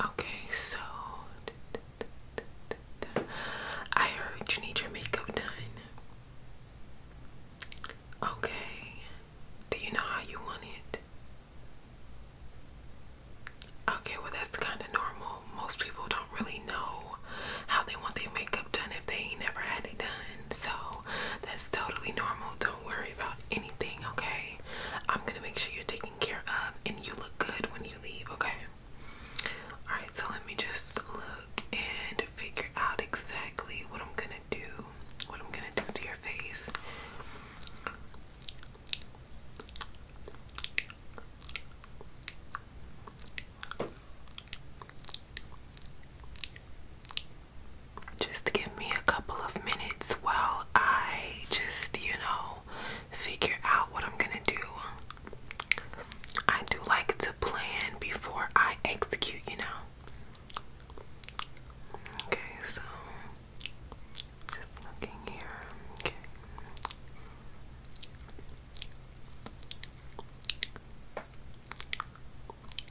Okay, so I heard you need your makeup done. Okay, do you know how you want it? Okay, well, that's kind of normal. Most people don't really know how they want their makeup done if they ain't never had it done. So that's totally normal. Don't worry about it okay? I'm gonna make sure you're taking care of and you look good when you leave, okay? Alright, so let me just look and figure out exactly what I'm gonna do, what I'm gonna do to your face. Just give me a couple of minutes while I just, you know, figure out what I'm gonna do. I do like to plan before I execute, you know. Okay, so just looking here. Okay.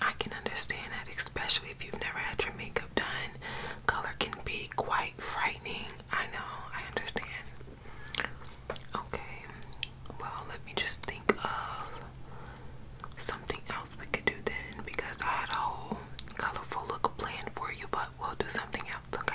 I can understand that, especially if you've never had your makeup done. Color can be quite frightening. I know, I understand. Okay, well, let me just think of something else we could do then because I had a whole colorful look planned for you, but we'll do something else, okay?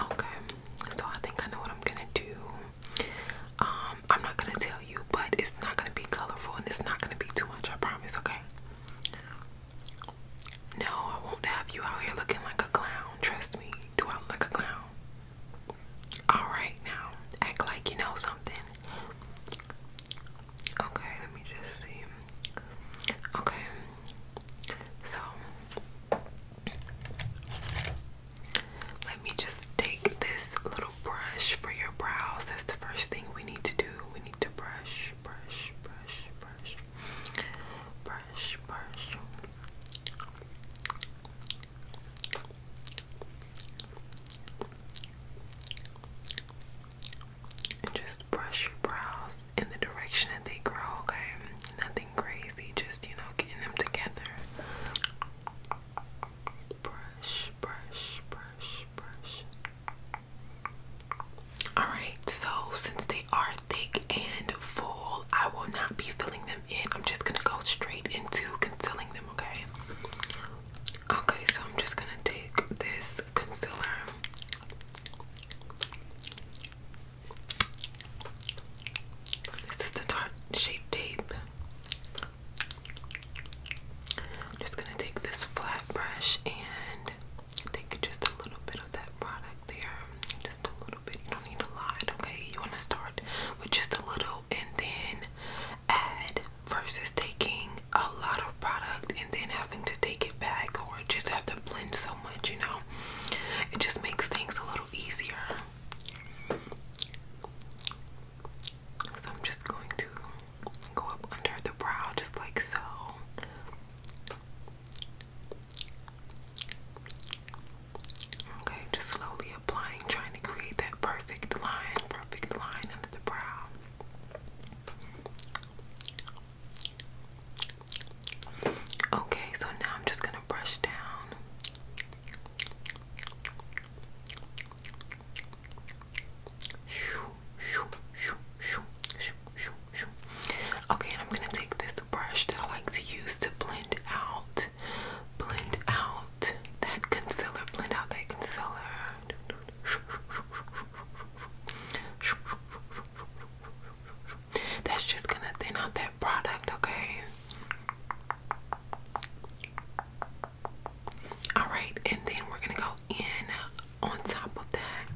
Okay, so I think I know what I'm gonna do. Um, I'm not gonna tell you, but it's not gonna be colorful and it's not gonna be too much, I promise, okay? No, I won't have you out here looking like a clown, trust me. Do I look like a clown? Alright, now act like you know something. Okay, let me just see. Okay, so let me just take this little brush for your brows. That's the first thing we need to do. We need to brush, brush, brush, brush, brush, brush and just brush your brows in the direction that they grow, okay? Nothing crazy, just you know, getting them together. Brush, brush, brush, brush. Alright, so since they are thick and full, I will not be filling them in. I'm just gonna go straight into concealing them, okay? Okay, so I'm just gonna take this concealer. This is the Tarte Shape Tape. I'm just gonna take this flat brush and take just a little bit of that product there. Just a little bit. You don't need a lot, okay? You wanna start with just a little and then add versus taking a lot of product and then having to take it back or just have to blend so much, you know. It just makes things a little easier. So I'm just going to go up under the brow just like so. Okay, just slowly applying, trying to create that perfect line, perfect line under the brow. Okay, so now I'm just going to brush down. Okay, and I'm going to take this brush that I like to use to blend out, blend out that concealer, blend out that concealer. That's just gonna thin out that product, okay? All right, and then we're gonna go in on top of that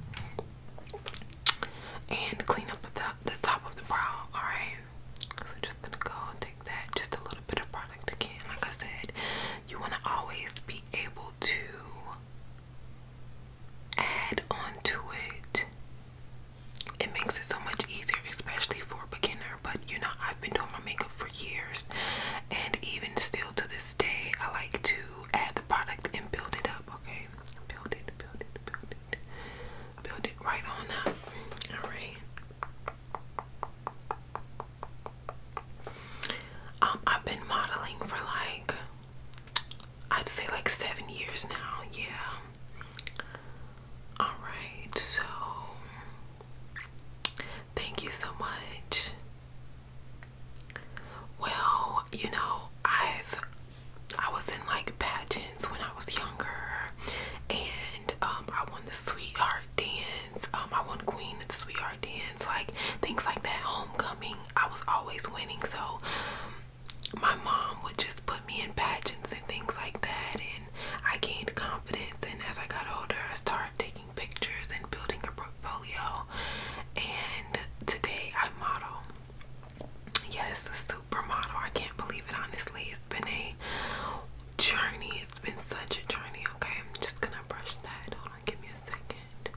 and clean up the, the top of the brow, all right? So just gonna go take that, just a little bit of product again. Like I said, you wanna always be able to add on to it. It makes it so much easier, especially for a beginner. But you know, I've been doing my makeup for years, and even still to this day, I like to add the product and build it up. Okay, build it, build it, build it, build it right on up. All right. Um, I've been modeling for like, I'd say like seven years now. Yeah. All right. So, thank you so much. Well, you know, I've I was in like pageants when I was younger, and um, I won the sweetheart dance. Um, I won queen of the sweetheart Jardins, like things like that. Homecoming, I was always winning, so um, my mom would just put me in pageants and things like that, and I gained confidence. And as I got older, I started taking pictures and building a portfolio. And today, I model. Yes, yeah, a supermodel. I can't believe it. Honestly, it's been a journey. It's been such a journey. Okay, I'm just gonna brush that. Hold on, give me a second.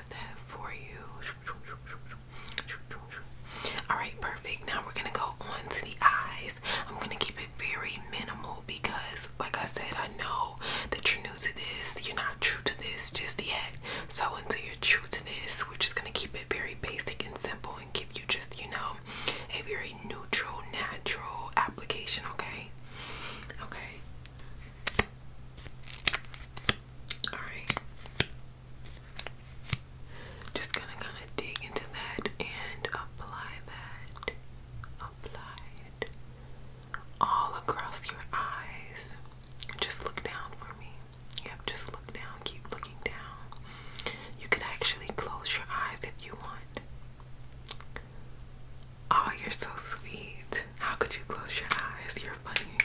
that for you. Alright, perfect. Now we're gonna go on to the eyes. I'm gonna keep it very minimal because, like I said, I know that you're new to this, you're not true to this just yet. So, until you're true to this, we're just gonna keep it very basic and simple and give you just, you know, a very neutral, natural application, okay? Okay. Alright. Just gonna kind of dig into that and apply that. Apply it all across your eyes. Just look down for me. Yep, just look down. Keep looking down. You could actually close your eyes if you want. Oh, you're so sweet. How could you close your eyes? You're funny.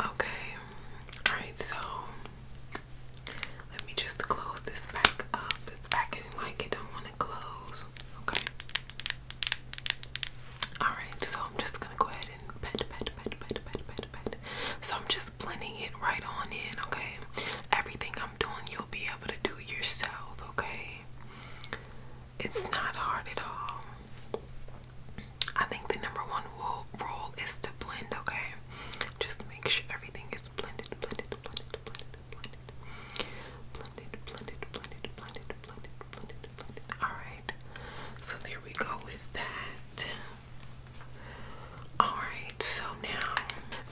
Okay. Alright, so let me just close this back up. It's acting like it don't want to close. Okay. Alright, so I'm just gonna go ahead and pet, pet, pet, pet, pet, pet, pet. So I'm just blending it right on in, okay? Everything I'm doing, you'll be able to do yourself, okay? It's not hard at all. I think the number one rule is to blend, okay? Just make sure everything is blended, blended, blended, blended, blended. Blended, blended, blended, blended, blended, Alright. So there we go with that. Alright, so now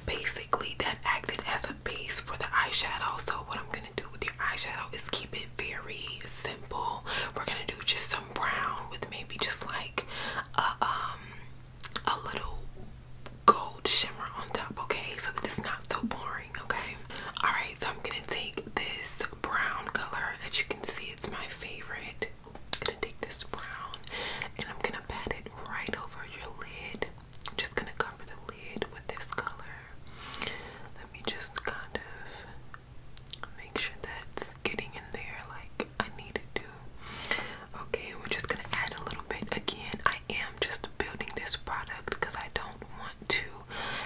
basically that acted as a base for the eyeshadow. So what I'm do with your eyeshadow is keep it very simple. We're gonna do just some brown with maybe just like um, a, little gold shimmer on top, okay? So that it's not so boring, okay? Alright, so I'm gonna take this brown color. As you can see, it's my favorite. I'm gonna take this brown and I'm gonna pat it right over your lid. I'm just gonna cover the lid with this color. Let me just kind of make sure that's getting in there like I need it to. Okay, we're just gonna add a little bit again. I am just building this product because I don't want to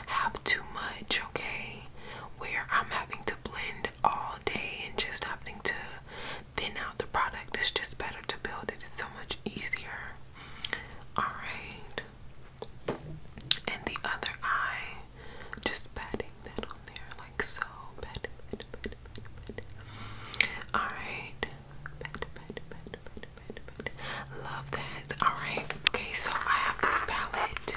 have too much, okay? Where I'm having to blend all day and just having to thin out the product. It's just better to build it, it's so much easier. Alright. And the other eye, just patting that on there, like so. Alright. Love that. Alright. Okay, so I have this palette.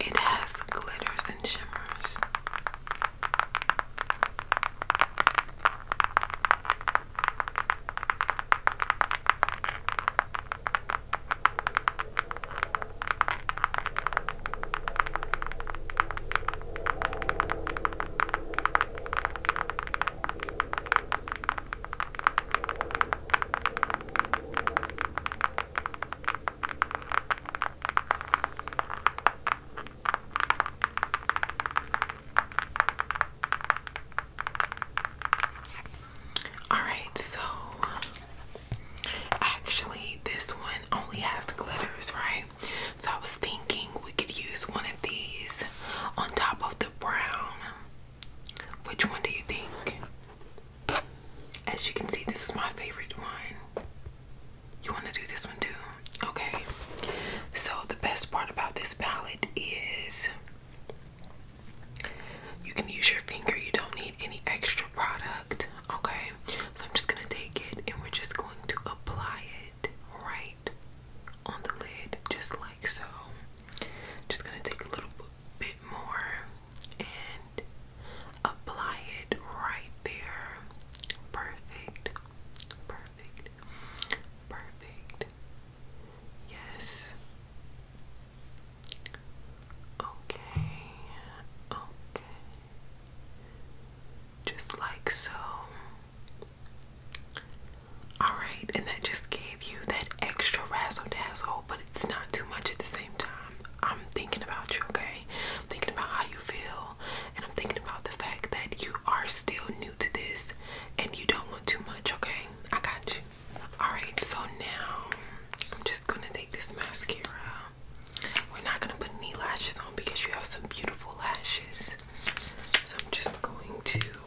It has glitters and shimmers. All right, so actually, this one only has glitters, right? So I was thinking we could use one of these on top of the brown which one do you think? As you can see, this is my favorite one. You want to do this one too? Okay. So, the best part about this palette is you can use your finger, you don't need any extra product. Okay. So, I'm just going to take it and we're just going to apply it right on the lid, just like so. Just going to take a little bit more and apply it right there. Perfect. Perfect. Perfect. Yes. Okay. Okay. Just like so. All right, and that just gave you that extra razzle dazzle, but it's not too much at the same time. I'm thinking about you, okay? thinking about how you feel, and I'm thinking about the fact that you are still new to this and you don't want too much, okay? I got you. All right, so now I'm just gonna take this mascara. We're not gonna put any lashes on because you have some beautiful lashes. So I'm just going to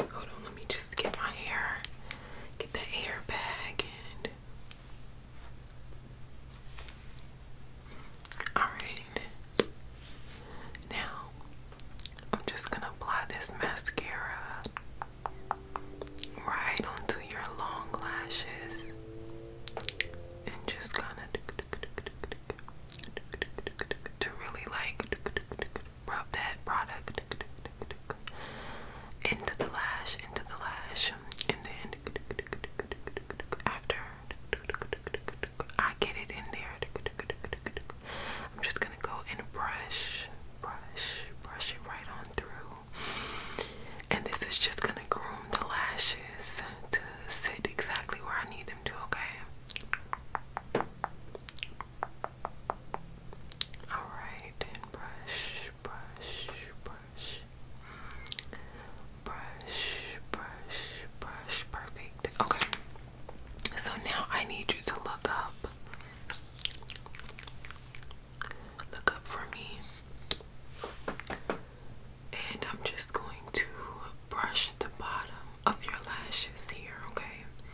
Hold on, let me just get my hair, get the hair back, and alright. Now, I'm just gonna apply this mascara right onto your long lashes and just kind of to really like rub that product into the lash, into the lash, and then after I get it in there, I'm just gonna go and brush, brush, brush it right on through. And this is just gonna groom the lashes to sit exactly where I need them to, okay? Alright, brush, brush, brush. Brush, brush, brush. Perfect. Okay. So now I need you to look up. Look up for me. And I'm just going to brush the bottom of your lashes here, okay?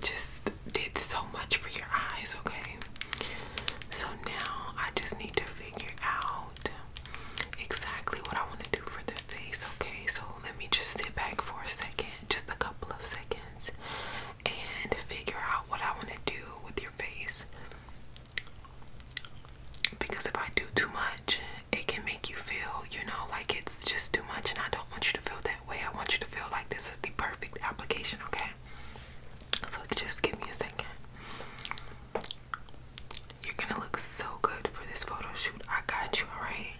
just did so much for your eyes, okay? So now I just need to figure out exactly what I want to do for the face, okay? So let me just sit back for a second, just a couple of seconds, and figure out what I want to do with your face. Because if I do too much, it can make you feel, you know, like it's just too much, and I don't want you to feel that way. I want you to feel like this is the perfect application, okay? So just give me a second. You're gonna look so good for this photo shoot. I got you, alright?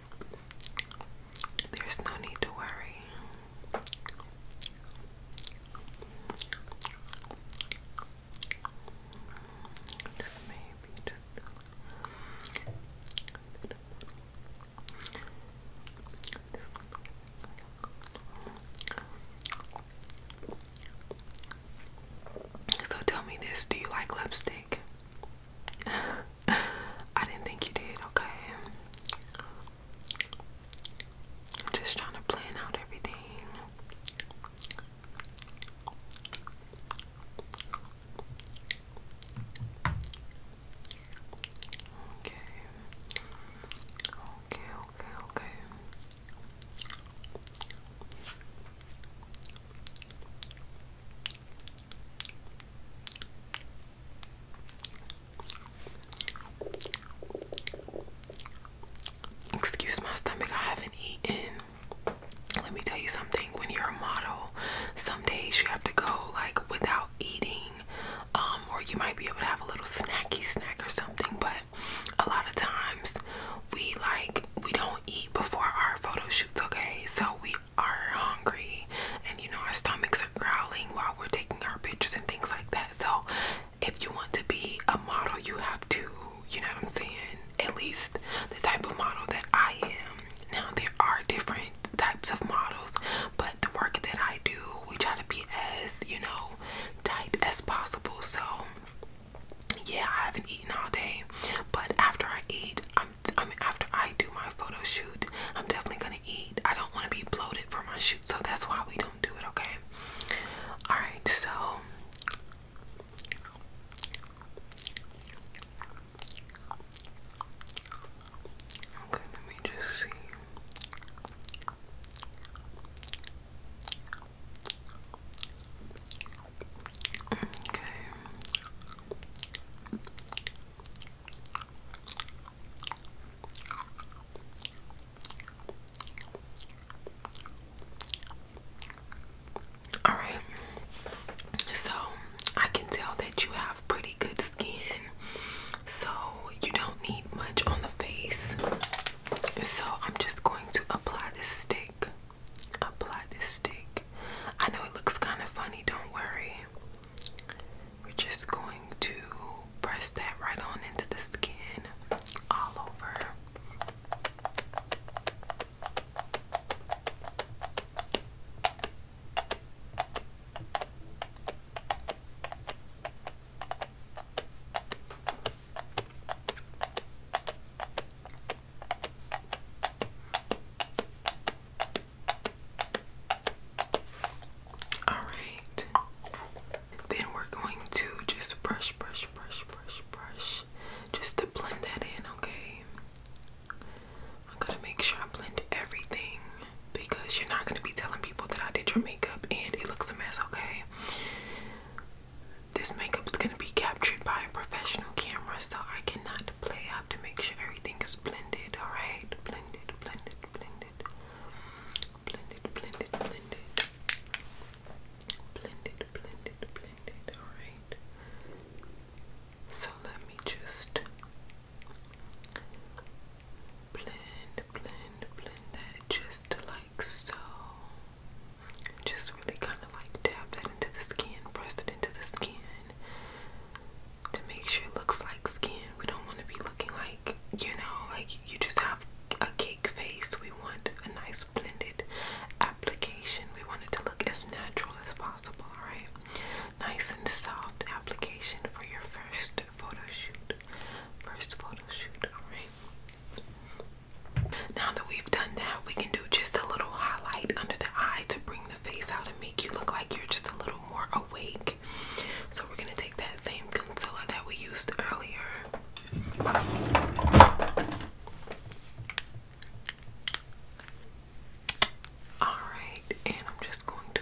There's no need to worry. Just maybe, just so tell me this, do you like lipstick? I didn't think you did, okay? I'm just trying to plan out everything. Okay. Okay, okay, okay. Excuse my stomach, I haven't eaten. Let me tell you something. When you're a model, some days you have to go like without eating um, or you might be able to have a little snacky snack or something. But a lot of times we like we don't eat before our photo shoots, okay? So we are hungry, and you know our stomachs are growling while we're taking our pictures and things like that. So if you want to be a model, you have to, you know what I'm saying? At least the type of model that I am. Now there are different types of models, but the work that I do, we try to be as, you know, tight as possible. So, yeah, I haven't eaten all day, but after I eat, I'm, I mean, after I do my photo shoot, I'm definitely gonna eat. I don't want to be bloated for my shoot, so that's why we don't do it, okay? All right, so. Okay, let me just see. Okay. All right. So, I can tell that you pretty good skin, so you don't need much on the face. So I'm just going to apply this stick. Apply this stick. I know it looks kind of funny, don't worry. We're just going to press that right on into the skin all over. All right. Then we're going to just brush, brush, brush, brush, brush, just to blend that in, okay? I'm gonna make sure I blend everything because you're not gonna be telling people that I did your makeup and it looks a mess, okay? This makeup's gonna be captured by a professional camera, so I cannot play. I have to make sure everything is blended, alright? Blended, blended, blended. Blended, blended, blended. Blended, blended, blended, alright? So let me just blend, blend, blend that just like so. Just really kind of like dab that into the skin, press it into the skin to make sure it looks like skin. We don't want to be looking like, you know, like you just have a cake face. We want a nice blended application. We want it to look as natural as possible, alright? Nice and soft application for your first photo shoot, first photo shoot, alright? Now that we've done that, we can do just a little highlight under the eye to bring the face out and make you look like you're just a little more awake. So we're gonna take that same concealer that we used earlier. Alright, and I'm just going to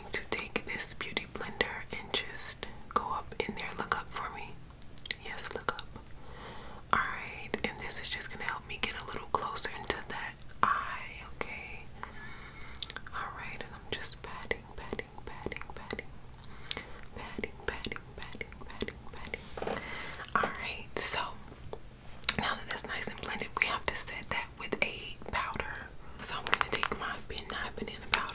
going to take this beauty blender and just go up in there. Look up for me. Yes, look up. Alright, and this is just gonna help me get a little closer into that eye, okay? Alright, and I'm just patting, patting, patting, patting. Patting, patting, patting, patting, patting. Alright, so now that that's nice and blended, we have to set that with a powder. So I'm gonna take my banana banana powder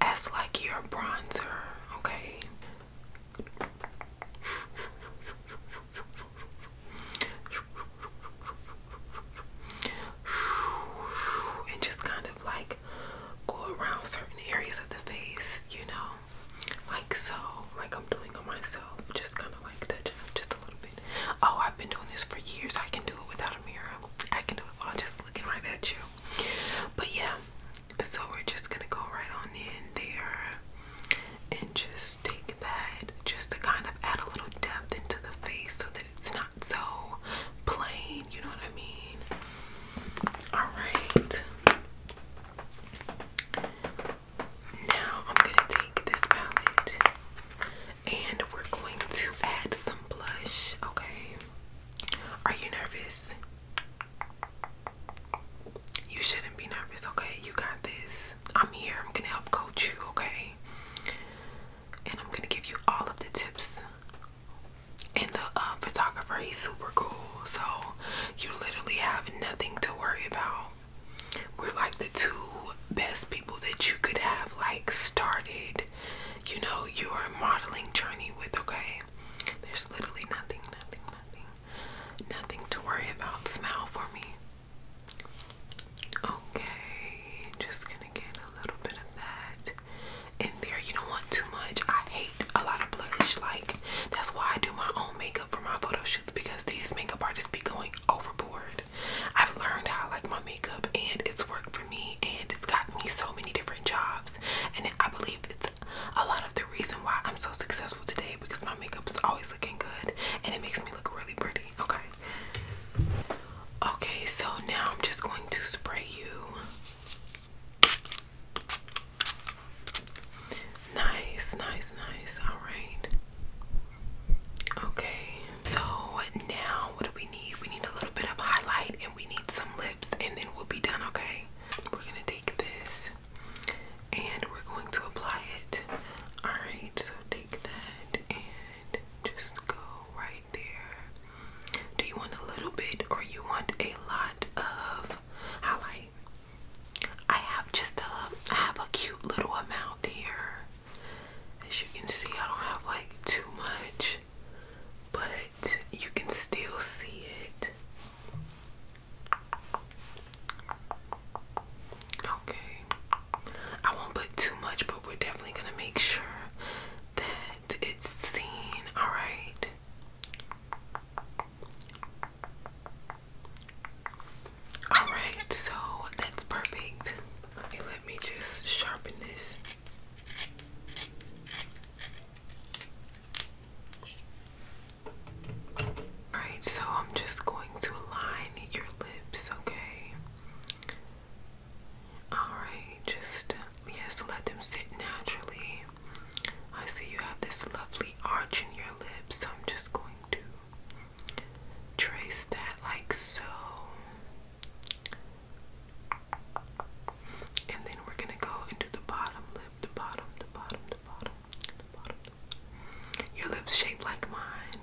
as like your bronzer, okay? And just kind of like go around certain areas of the face, you know, like so, like I'm doing on myself, just kind of like touching up just a little bit. Oh, I've been doing this for years. I can do it without a mirror. I can do it while just looking right at you. But yeah, so we're just gonna go right on in there and just take that just to kind of add a little depth into the face so that it's not so plain, you know what I mean? Alright. Now I'm gonna take this palette and we're going to add some blush, okay? Are you nervous? You shouldn't be nervous, okay? You got this. I'm here. I'm going to help coach you, okay? And I'm going to give you all of the tips. And the uh, photographer, he's super cool. So you literally have nothing to worry about. We're like the two best people that you could have like started you know your modeling journey with, okay? There's literally nothing, nothing, nothing, nothing to worry about. Smile for me. Okay, just gonna get a little bit of that in there. You don't want too much. I hate a lot of blush. Like, that's why I do my own makeup for my photo shoots because these makeup artists be going overboard. I've learned how I like my makeup and it's worked for me and it's gotten me so many different jobs and I believe it's a lot of the reason why I'm so successful today because my makeup is always looking good and it makes me look really pretty. Okay. Okay, so now I'm just going to spray you. Nice, nice, nice. All right. Okay, so now what do we we need. We need a little bit of highlight and we need some lips and then we'll be done, okay? We're gonna take this and we're going to apply it. Alright, so take that and just go right there. Do you want a little bit or you want a lot of highlight? I have just a I have a cute little amount here. As you can see, I don't have like too much but you can still see it. Okay. I won't put too much, but we're definitely going to make sure that it's seen, all right? All right, so that's perfect. let me just sharpen this. Alright, so I'm just going to line your lips, okay? Alright, just yes, let them sit naturally. I see you have this lovely arch in your lips, so I'm just going to trace that like so. And then we're gonna go into the bottom lip, the bottom, the bottom, the bottom, the bottom. Your lips shaped like mine.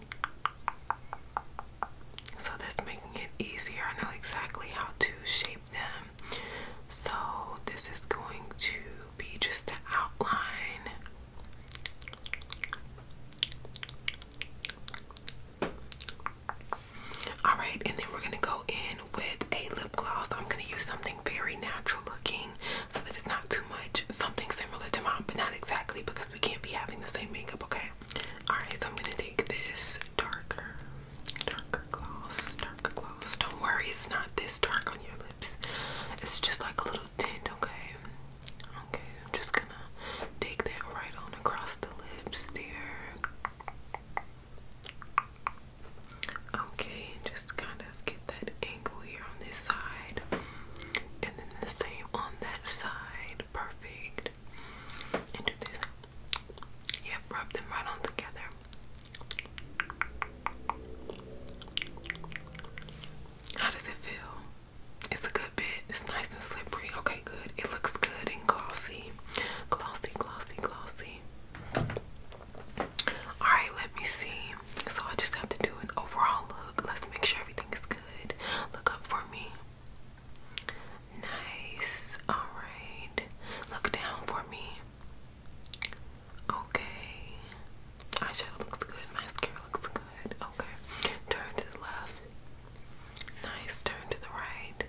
So that's making it easier. I know exactly how to shape them. So this is going to be just the outline. All right, and then we're gonna go in with a lip gloss. I'm gonna use something very natural looking so that it's not too much. Something similar to mine, but not exactly because we can't be having the same makeup, okay? All right, so I'm gonna take this darker, darker gloss, darker gloss. Don't worry, it's not this dark on your lips. It's just like a little tint, okay? Okay, I'm just gonna take that right on across the lips there. Okay, just kind of get that angle here on this side, and then the same on that side. Perfect. And do this. Yep, rub them right on together. How does it feel? It's a good bit. It's nice and slippery. Okay, good. It looks good and glossy. Glossy, glossy, glossy. Alright, let me see. So I just have to do an overall look. Let's make sure everything is good. Look up for me. Nice. Alright. Look down for me. Okay. Eyeshadow looks good. Mascara looks good. Okay. Turn to the left. Nice. Turn to the right.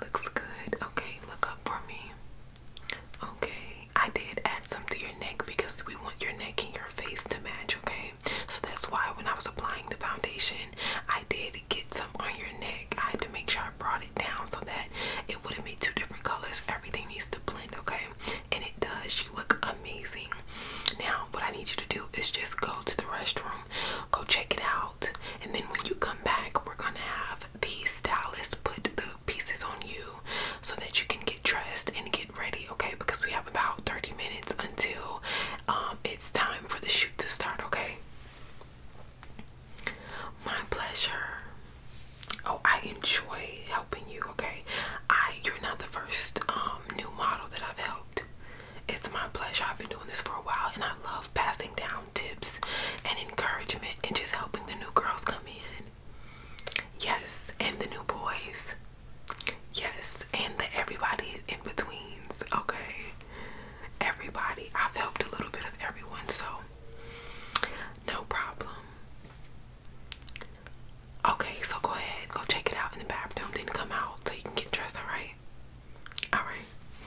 Looks good. Okay, look up for me. Okay, I did add some to your neck because we want your neck and your face to match, okay? So that's why when I was applying the foundation, I did get some on your neck. I had to make sure I brought it down so that it wouldn't be two different colors. Everything needs to blend, okay? And it does. You look amazing. Now, what I need you to do is just go to the restroom, go check it out, and then when you come back, we're gonna have the stylist put the pieces on you so that you can get dressed and get ready, okay? Because we have about 30 minutes until um, it's time for the shoot to start, okay? My pleasure. Oh, I enjoy helping you, okay? I you're not the first um, new model that I've helped. It's my pleasure. I've been doing this for a while and I love passing down tips and encouragement and just helping the new girls come in. Yes, and the new boys. Yes, and the everybody in betweens. Okay, everybody. I've helped a little bit of everyone, so no problem. Okay, so go ahead, go check it out in the bathroom, then come out so you can get dressed. All right, all right.